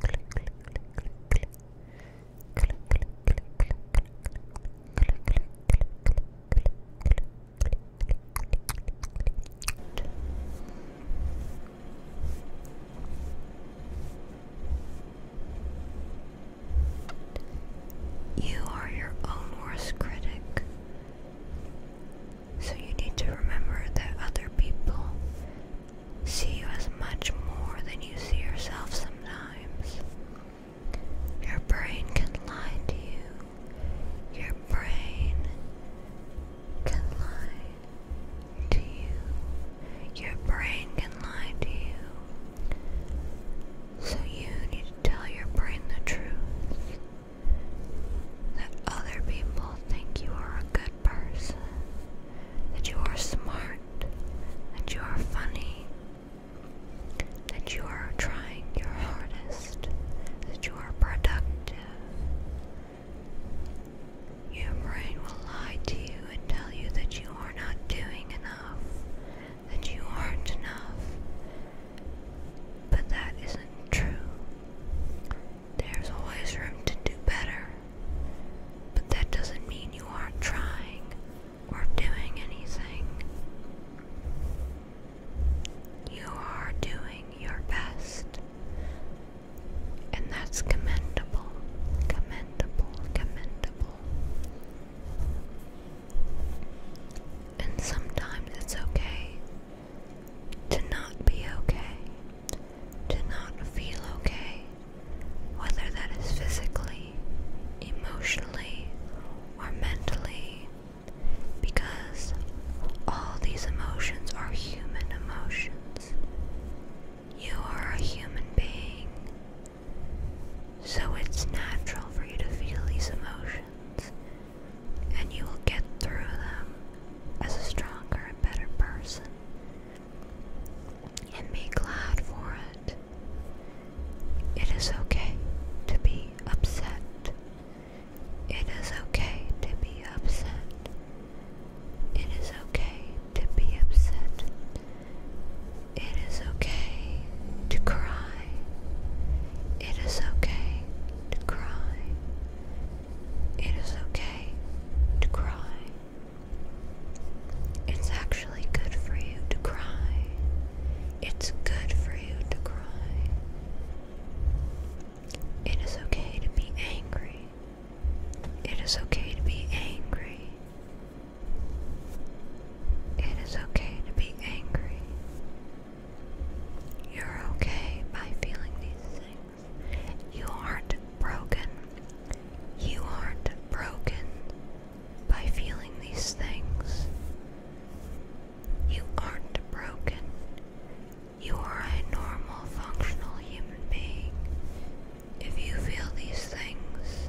click, You are your own worst critic. So you need to remember that other people see you as much more than you see yourself sometimes. Your brain can lie to you. Your brain can lie to you. Your brain can lie to you. So you need to tell your brain the truth. That other people think you are a good person, that you are smart, that you are funny, that you are trying your hardest, that you are productive. Your brain will lie to you and tell you that you are not doing enough, that you aren't enough. But that isn't true. There's always room to do better, but that doesn't mean you aren't trying or doing anything. You are doing your best, and that's commendable, commendable, commendable. And sometimes it's okay to not be okay, to not feel okay, whether that is physically, emotionally, or mentally, because all these emotions are human emotions. You are a human being, so it's natural for you to feel these emotions, and you will get through them as a stronger and better person and be glad for it. It is okay to be upset. It is okay to be upset. It is okay to be upset. It is okay to cry. It is okay to cry. It is okay to cry. It's actually good for you to cry. It's good for you to cry. It is okay to be angry. It is okay to be angry. It is okay to be angry. You're okay by feeling these things. You aren't broken. You aren't broken by feeling these things. You aren't broken. You are a normal, functional human being. If you feel these things,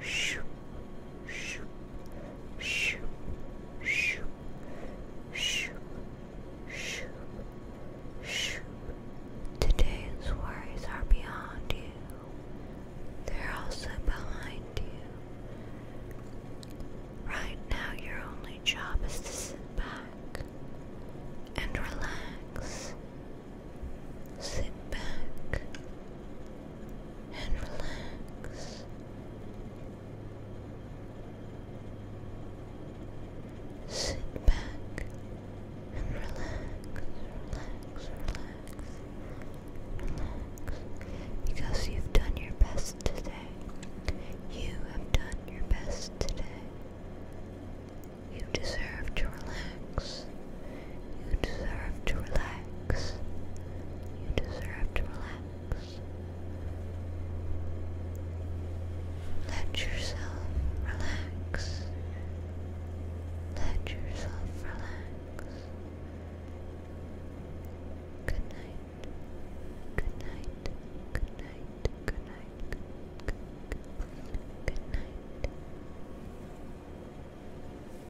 shoo, shoo, shoo, shoo, shoo, shoo, shoo. Today's worries are beyond you. They're also behind you. Right now, your only job is to sit back and relax. Sit back and relax. Sit back and relax, relax, relax, relax. Because you've done your best today. You have done your best today. You deserve to relax. You deserve to relax. You deserve to relax. Let yourself relax. Let yourself relax. Good night. Good night. Good night. Good night. Good night. Good night.